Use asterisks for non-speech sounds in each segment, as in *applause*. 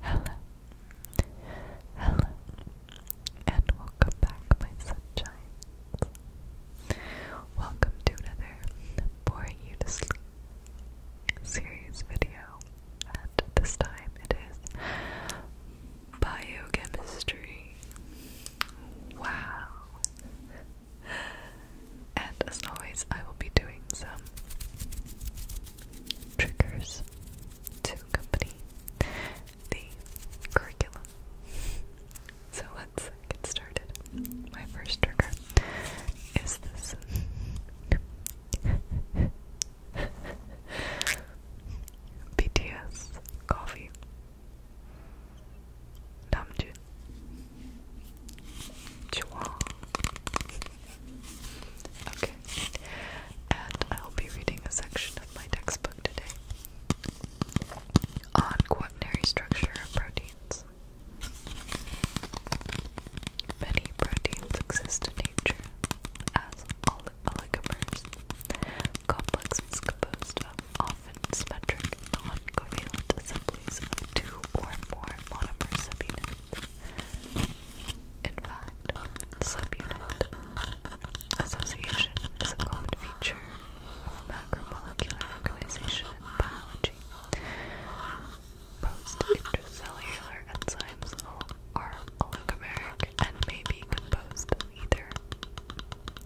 Hello, hello, and welcome back, my sunshine. Welcome to another boring you to sleep series video. And this time it is biochemistry. Wow! And as always, I will be doing some triggers to accompany the curriculum. *laughs* So let's get started. My first trigger is this. BTS *laughs* coffee. Namjoon. Chua. Okay. And I'll be reading a section of my textbook today on quaternary structure of proteins. Many proteins exist in nature as ol oligomers. Complexes composed of often symmetric, non-covalent assemblies of two or more monomers of unit in fact, subunit association is a common feature of macromolecular organization in biology. Post-intracellular enzymes are oligomeric and may be composed either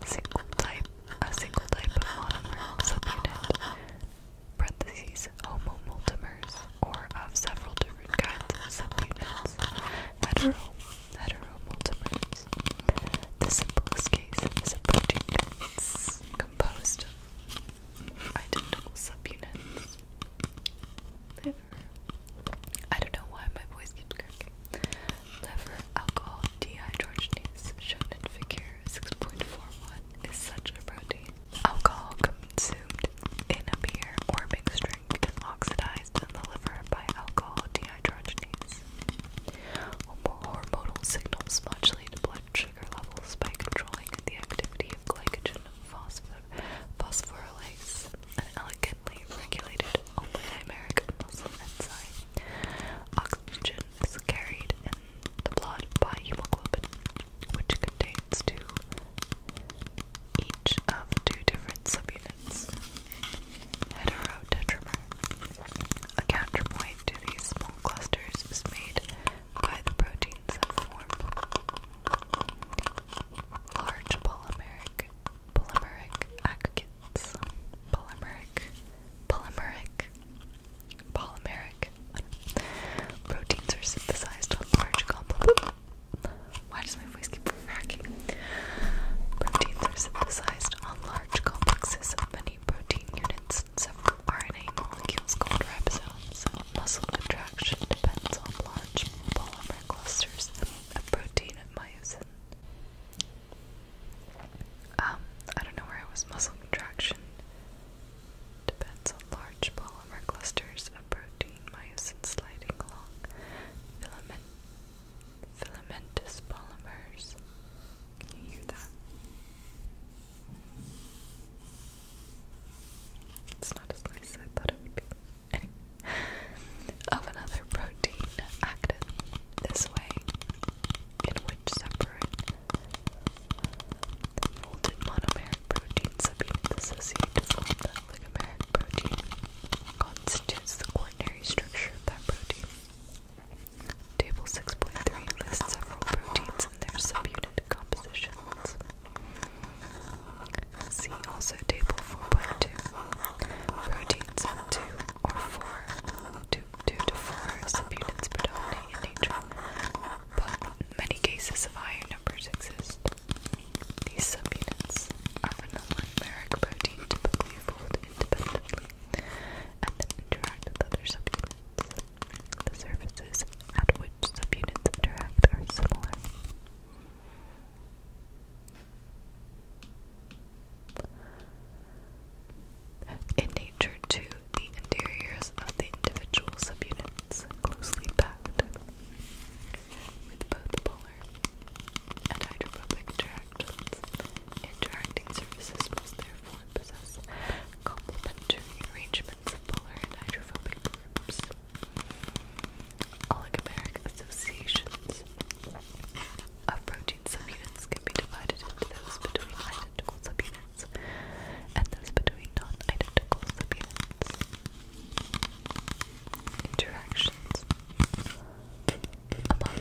single type, a single type of monomer subunit, parentheses homomultimers, or of several different kinds of subunits, hetero, heteromultimers. The simplest case is a protein that's composed of identical subunits. Liver. I don't know why my voice keeps cracking. Liver alcohol dehydrogenase, shown in figure 6.41, is such a protein. Alcohol consumed in a beer or mixed drink is oxidized in the liver by alcohol dehydrogenase. Hormonal signals modulate blood sugar levels by controlling the activity of glycogen phosphor phosphorylase, an elegantly regulated oligomeric muscle enzyme. Oxygen is carried in the blood by hemoglobin, which contains two each of two different subunits. Heterotetramer. A counterpoint to these small clusters is made by the proteins that form large polymeric, polymeric aggregates, polymeric, polymeric, polymeric. Proteins are synthesized on large complex why does my voice keep cracking? Proteins are synthesized on large complexes of many protein units and several RNA molecules called ribosomes. Muscle contraction depends on large polymer clusters of protein and myosin. Um, I don't know where I was. Muscle contraction depends on large polymer clusters protein myosin sliding along filament filamentous polymers. you hear that? It's not as nice as I thought it would be. of another protein acted this way, in which separate the monomeric protein subunit associate to form the oligomeric protein constitutes the quaternary structure of that protein. Table 6.3 lists several proteins and their subunit compositions. See also Table 4.2. Proteins of 2 or 4, to 4 subunits predominate in nature, but many cases of higher numbers exist. These subunits are from the dimeric protein typically fold independently and then interact with other subunits. The surfaces at which subunits interact are similar. In nature, too, the interiors of the individual subunits closely packed with both polar and hydrophobic interactions. Interacting surfaces must therefore possess complementary arrangements of polar and hydrophobic groups. Oligomeric associations of protein subunits can be divided into those between identical subunits and those between non-identical subunits interactions among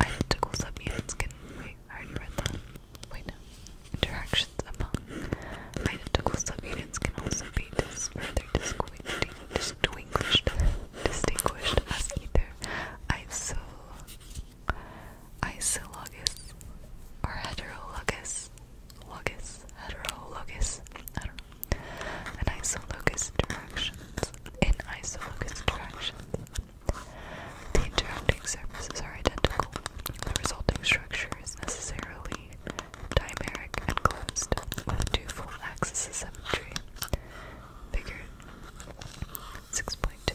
identical subunits can wait, I already read that. Wait Interactions among identical subunits can also be further distinguished distinguished as either Isologous or heterologous locus, heterologous, I don't know, an isologous directions. In isologous directions, the interacting surfaces are identical. The resulting structure is necessarily dimeric and closed, with a axis of symmetry. Figure 6.2.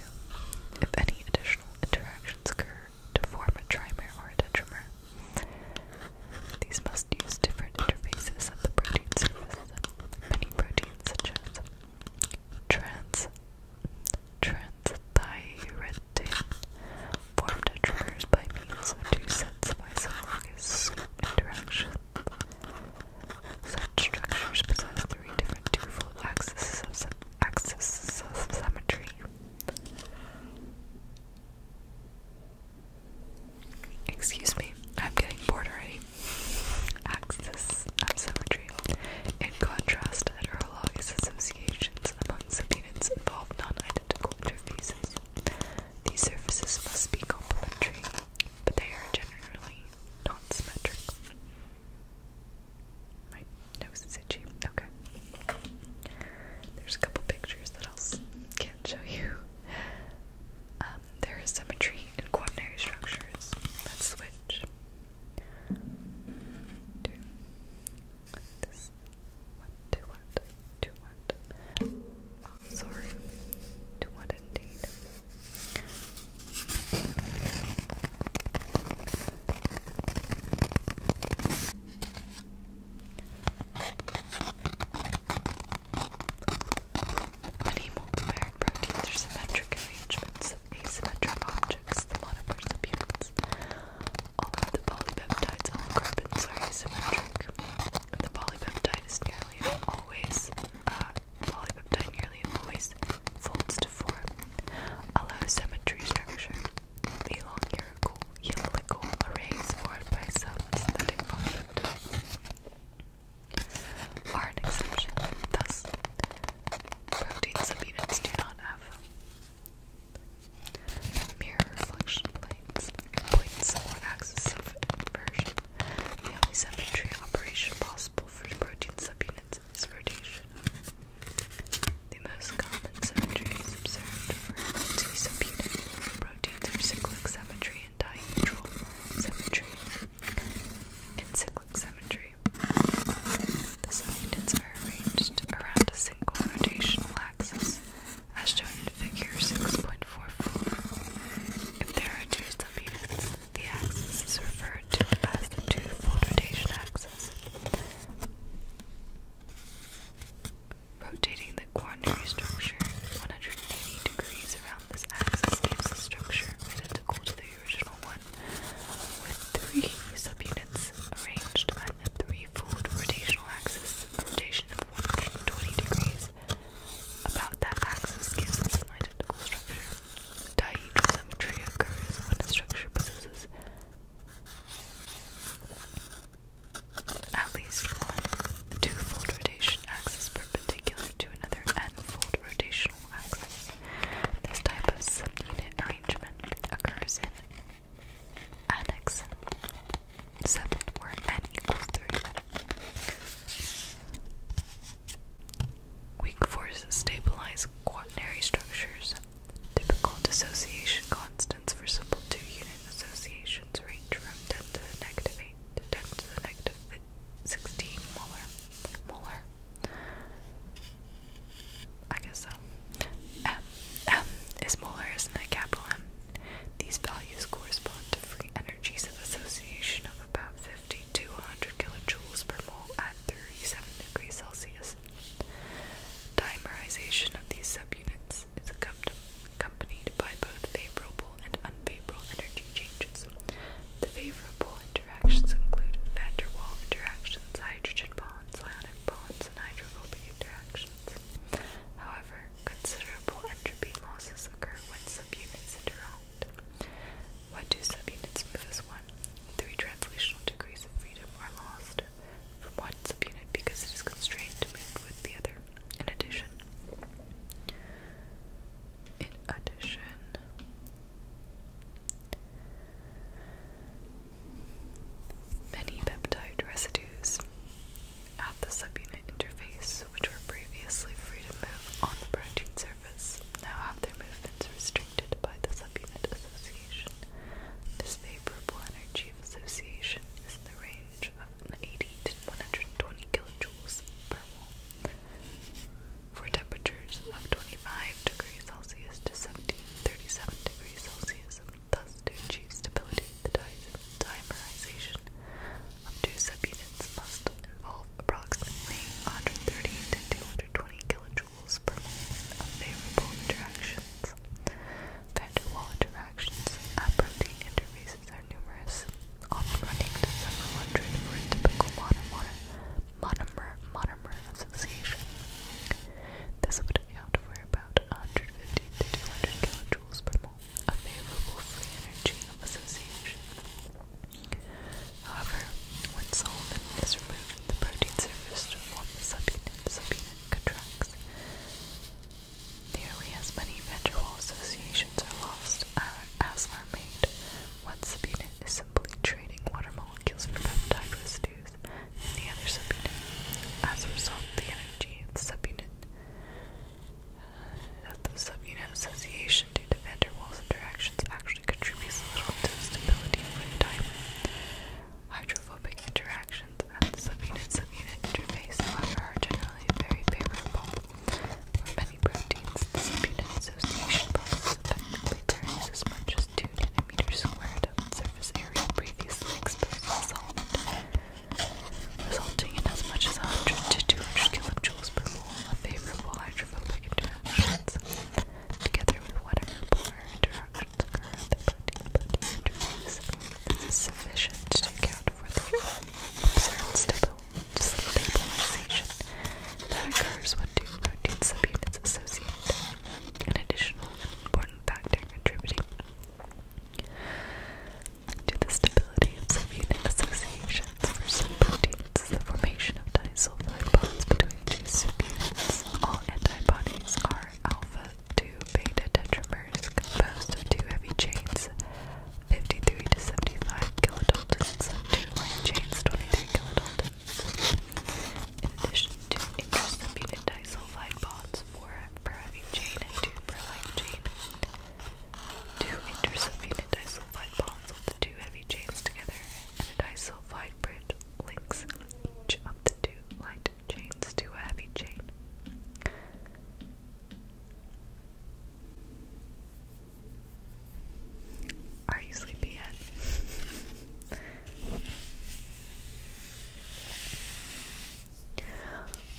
If any additional interactions occur, to form a trimer or a tetramer. These must use different interfaces of the protein surface. Many proteins, such as trans transthyretin, form tetramers by means of two sets of isologous interactions. Such structures possess three different two-fold axes of axis of symmetry. Excuse me, I'm getting bored already. Axis asymmetry. In contrast, heterologous associations among subunits involve non-identical interfaces. These surfaces must be complementary, but they are generally not symmetric. My nose Okay. There's a couple pictures that I can't show you. Um, there is symmetry in quaternary structures. Let's switch. Two. This. One, two, one, two, one. Oh, sorry. Two, one, indeed. Many multivariate proteins are symmetric arrangements of asymmetric objects, the monomers appearance. All of the polypeptides on carbons are asymmetric. The polypeptide is nearly always uh, folds to form a low symmetry structure the helical arrays formed by some aesthetic product are an exception. Thus, proteins of do not have mirror reflection planes, points or axes of inversion. The only symmetry operation possible for protein subunits is rotation. The most common symmetries observed were two proteins of cyclic symmetry and dihedral symmetry. In cyclic symmetry, the subunits are arranged around a single rotational axis, as shown in Figure 6.44. If there are two subunits, the axis is referred to as the two-fold rotation axis. Rotating the quaternary structure 180 degrees around this axis gives a structure identical to the original one, with three subunits arranged at the three-fold rotational axis, a rotation of 120 degrees. About that axis gives us an identical structure. Dihedral symmetry occurs when a structure possesses at least one two-fold rotation axis perpendicular to another n-fold rotational axis. This type of subunit arrangement occurs in annex 7 where n equals 3. Weak forces stabilize quaternary structures Typical dissociation constants for simple two-unit associations range from 10 to the negative 8 to 10 to the negative 16 molar. I guess so. M. is molar, isn't Capital M. These values correspond to free energies of association of about 50 to 100 kilojoules per mole at 37 degrees Celsius. Dimerization of these subunits is accompanied by both favorable and unfavorable energy changes. The favorable interactions include van der Waal interactions, hydrogen bonds, ionic bonds, and hydrophobic interactions. However, considerable entropy losses occur when subunits interact. What do subunits move This one? Three translational degrees of freedom are lost from what's one subunit because it is constrained to move with the other. In addition, in addition, many peptide residues at the subunit interface, which were previously free to move on the protein surface, now have their movements restricted by the subunit association. This favorable energy of association is the range of 80 to 120 kilojoules per mole. For temperatures of 25 degrees Celsius to 17, degrees Celsius, thus to achieve stability, the dimerization of two subunits must involve approximately 130 to 220 kilojoules per mole of favorable interactions. Van-der-Waal interactions at protein interfaces are numerous, often running to several hundred for a typical monomer, monomer, monomer association. This would account for about 150 to 200 kilojoules per mole, a favorable free energy of association. However, when solvent is removed, the protein surface to form the subunit, subunit contracts. Nearly as many ventral associations are lost uh, as are made. One subunit is simply trading water molecules for peptide residues in the other subunit. As a result, the energy of the subunit uh, of the subunit association due to van der Waals interactions actually contributes little to the stability of the diamond. Hydrophobic interactions the subunit subunit interface are generally very favorable. For many proteins, the subunit association bubbles effectively varies as much as 2 nanometers squared of surface area previously exposed to solvent, resulting in as much as 100 to 200 kilojoules per mole of favorable hydrophobic interactions. Together with whatever polar inter perfect curve the body interface is sufficient to account for the observed stabilization that occurs when two protein subunits associate. An additional important factor contributing to the stability of subunit associations for some proteins the formation of disulfide bonds between two subunits. All antibodies are alpha two beta tetramers composed of two heavy chains, 53 to 75 kilodaltons, two light chains, 23 kilodaltons. In addition to intrasimbuted disulfide bonds, for a heavy chain and two per light chain, two intrasimbuted disulfide bonds with the two heavy chains together, and a disulfide bridge links each of the two light chains too heavy chain. Are you sleepy yet?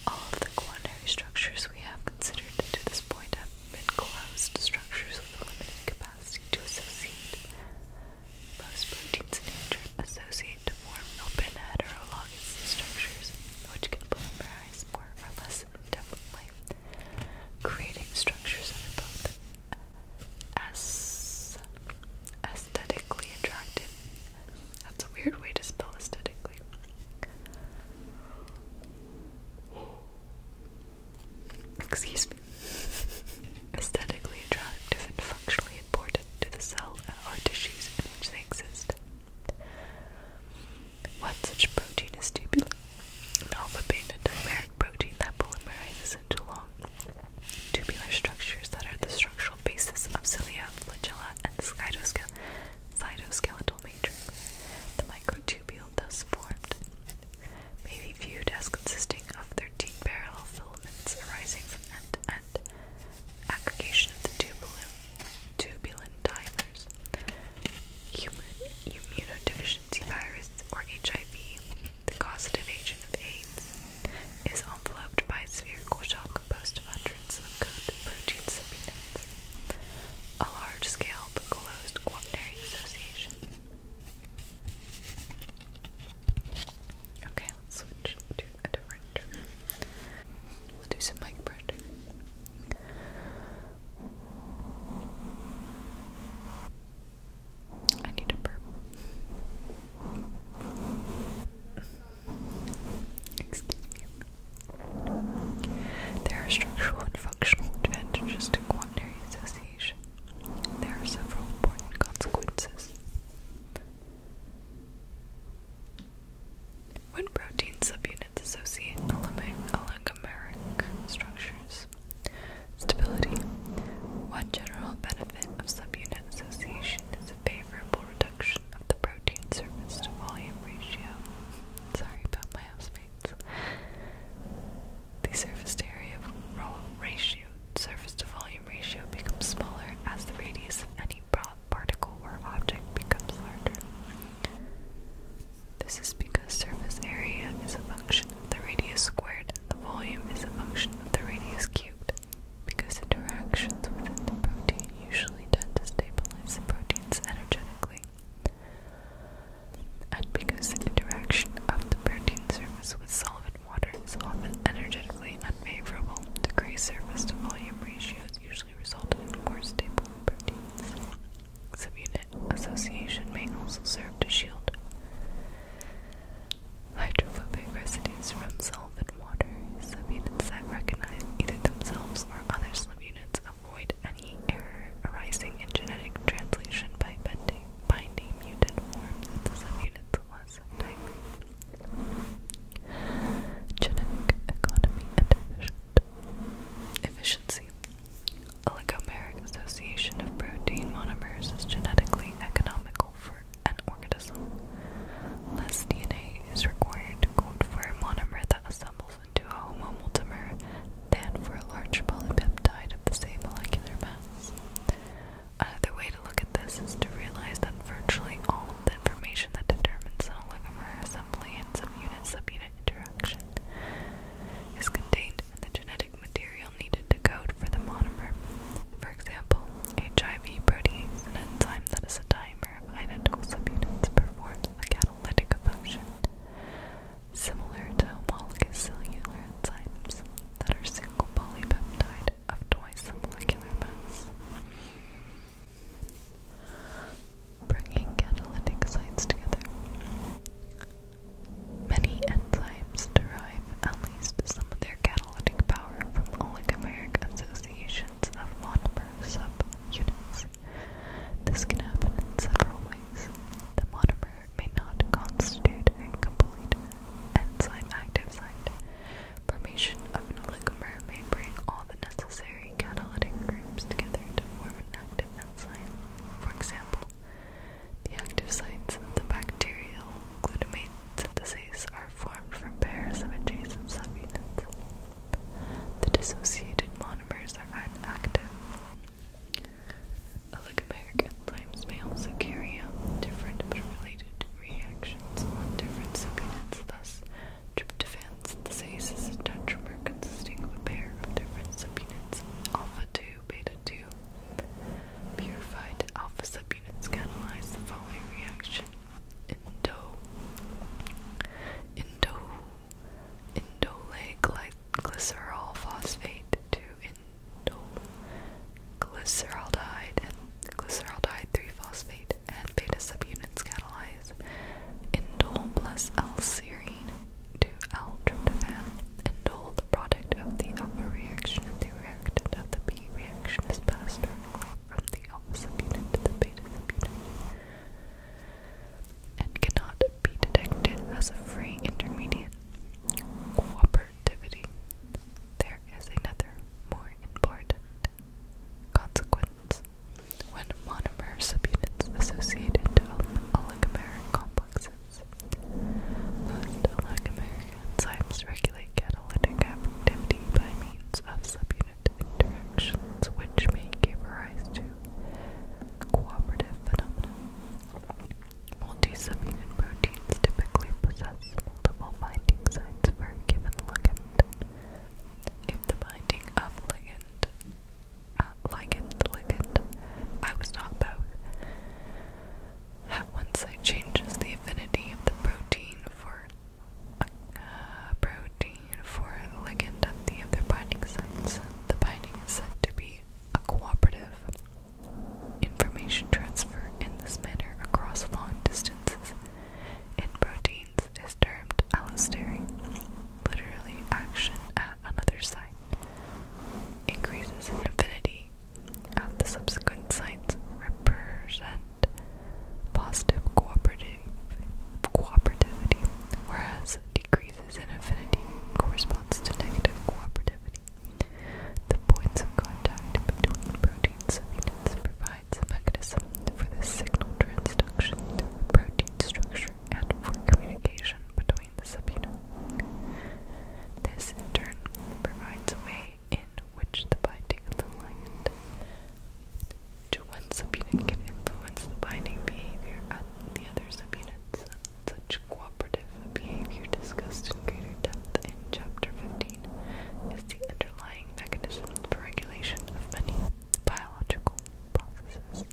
All of the quaternary structures we have considered to this point have been closed structures with limited capacity to associate considered associated to form open heterologous structures, which can polymerize more or less indefinitely, creating structures that are both aesthetically attractive. That's a weird way to spell aesthetically. Excuse me. *laughs* Aesthetically attractive and functionally important to the cell uh, or tissues in which they exist. One such protein is tubulin, an alpha beta dimeric protein that polymerizes into long tubular structures that are the structural basis of cilia, flagella, and cytoskeletal, cytoskeletal matrix. The microtubule thus formed may be viewed as consisting of 13 parallel filaments arising from end to aggregation of the tubulin, tubulin dimers, human immunodeficiency virus or HIV, the causative agent of AIDS, is enveloped by a spherical shell composed of hundreds of coated protein a large-scale closed quaternary association. Okay switch to a different. We'll do some mic pressure. I need a burp. Excuse me. There are structural and functional advantages to quaternary association. There are several important consequences. When protein subunits associate oligomeric structures, stability. One general benefit of subunit association is a favorable reduction of the protein surface to volume ratio. Sorry about my housemates. The surface area ratio, surface to volume ratio becomes smaller as the radius of any particle or object becomes larger. This is because surface area is a function of the radius squared, the volume is a function of the radius cubed. Because interactions within the protein usually tend to stabilize the proteins energetically. And because the interaction of the protein surface with solvent water is often energetically unfavorable, degree surface to volume ratios usually result in more stable proteins. Subunit association may also serve to shield hydrophobic residues from solvent water. Subunits that recognize either themselves or other subunits avoid any error arising in genetic translation by binding mutant forms of the subunits genetic economy and efficiency. Oligomeric association of protein monomers is genetically economical for an organism. Less DNA is required to code for a monomer that assembles into a homomultimer than for a large polypeptide of the same molecular mass. Another way to look at this is to realize that virtually all the information that determines an oligomer assembly and subunit-subunit interaction is contained in the genetic material needed to code for the monomer. For example, HIV protease an enzyme that is a dimer of identical subunits performs a catalytic function similar to homologous cellular enzymes that are single polypeptide of twice the molecular mass bringing catalytic sites together. Many enzymes derive at least some of their catalytic power from oligomeric associations of monomer subunits. This can happen in several ways. The monomer may not constitute a complete enzyme active site, formation of an oligomer may bring all the necessary catalytic groups together to form an active enzyme. For example, the active sites of the bacterial glutamate synthase are formed from pairs of adjacent subunits. The dissociated monomers are inactive. Oligomer enzymes may also carry out different but related reactions on different subunits, thus Tryptophans, this ACE is a tetramer consisting of a pair of different subunits, alpha-2, beta-2. Purified alpha subunits catalyze the following reaction. Indo Indo Indole gly glycerol phosphate to indole glyceraldehyde and glyceraldehyde 3 phosphate and beta subunits catalyze indole plus L-serine to L-tryptophan. Indole, the product of the alpha reaction and the reactant of the B reaction, is passed directly from the alpha subunit to the beta subunit and cannot be detected as a free intermediate. Cooperativity. There is another, more important consequence when monomer subunits associate into oligomeric complexes, most oligomeric enzymes regulate catalytic activity by means of subunit interactions, which may give rise to cooperative phenomena. Multi-subunit proteins typically possess multiple binding sites for a given ligand. If the binding of ligand, uh, ligand, ligand, I was not both, at one site changes the affinity of the protein for uh, protein for ligand at the other binding sites, the binding is said to be a cooperative information transfer in this manner across long distances in proteins is termed allostery, literally action at another site, increases in affinity at the subsequent sites represent positive cooperativity, whereas decreases in affinity corresponds to negative cooperativity. The points of contact between proteins provide mechanism for the signal transduction protein structure and for communication between the subunits. This, in turn, provides a way in which the binding of the ligand to one subunit can influence the binding behavior of the other subunits. Such cooperative behavior discussed in greater depth in Chapter 15 is the underlying mechanism for regulation of many biological processes.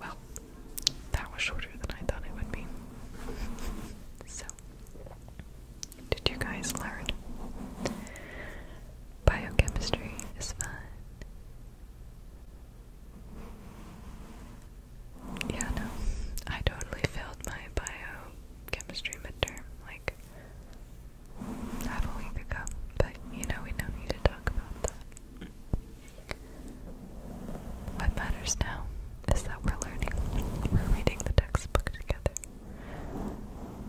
Well, that was shorter than I thought it would be. so, did you guys learn? Biochemistry is fun. Yeah, no, I totally failed my biochemistry midterm. Like, half a week ago, but you know we don't need to talk about that. What matters now is that we're learning. We're reading the textbook together.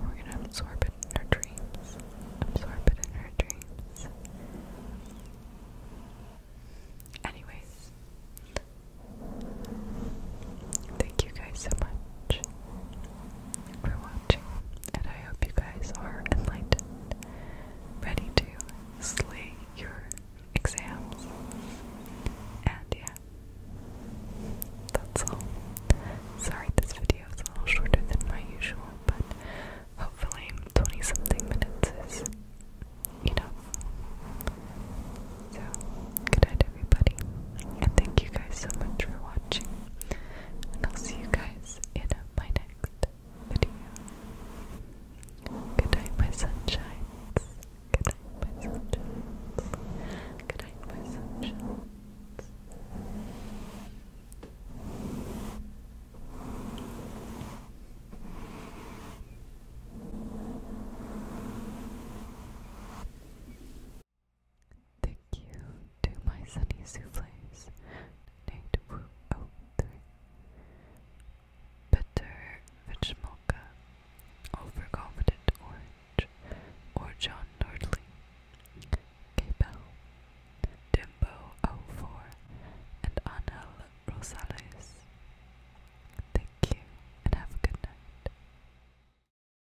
We're gonna absorb it in our dreams. Absorb it in our dreams. Anyways, thank you guys so much for watching, and I hope you guys are enlightened, ready to slay your exams. And yeah, that's all. Sorry this video is a little shorter than my usual, but hopefully 20 something minutes is enough. So, good night everybody. And thank you guys so much for watching. And I'll see you guys in my next video. Good night, my sunshines. Good night, my sunshines. Good night, my sunshines. Thank you to my sunny souffles. Donate oh three. Bitter Vich Overconfident Orange, or John Nordley. k Dimbo04, and Anel Rosales. Thank you and have a good night.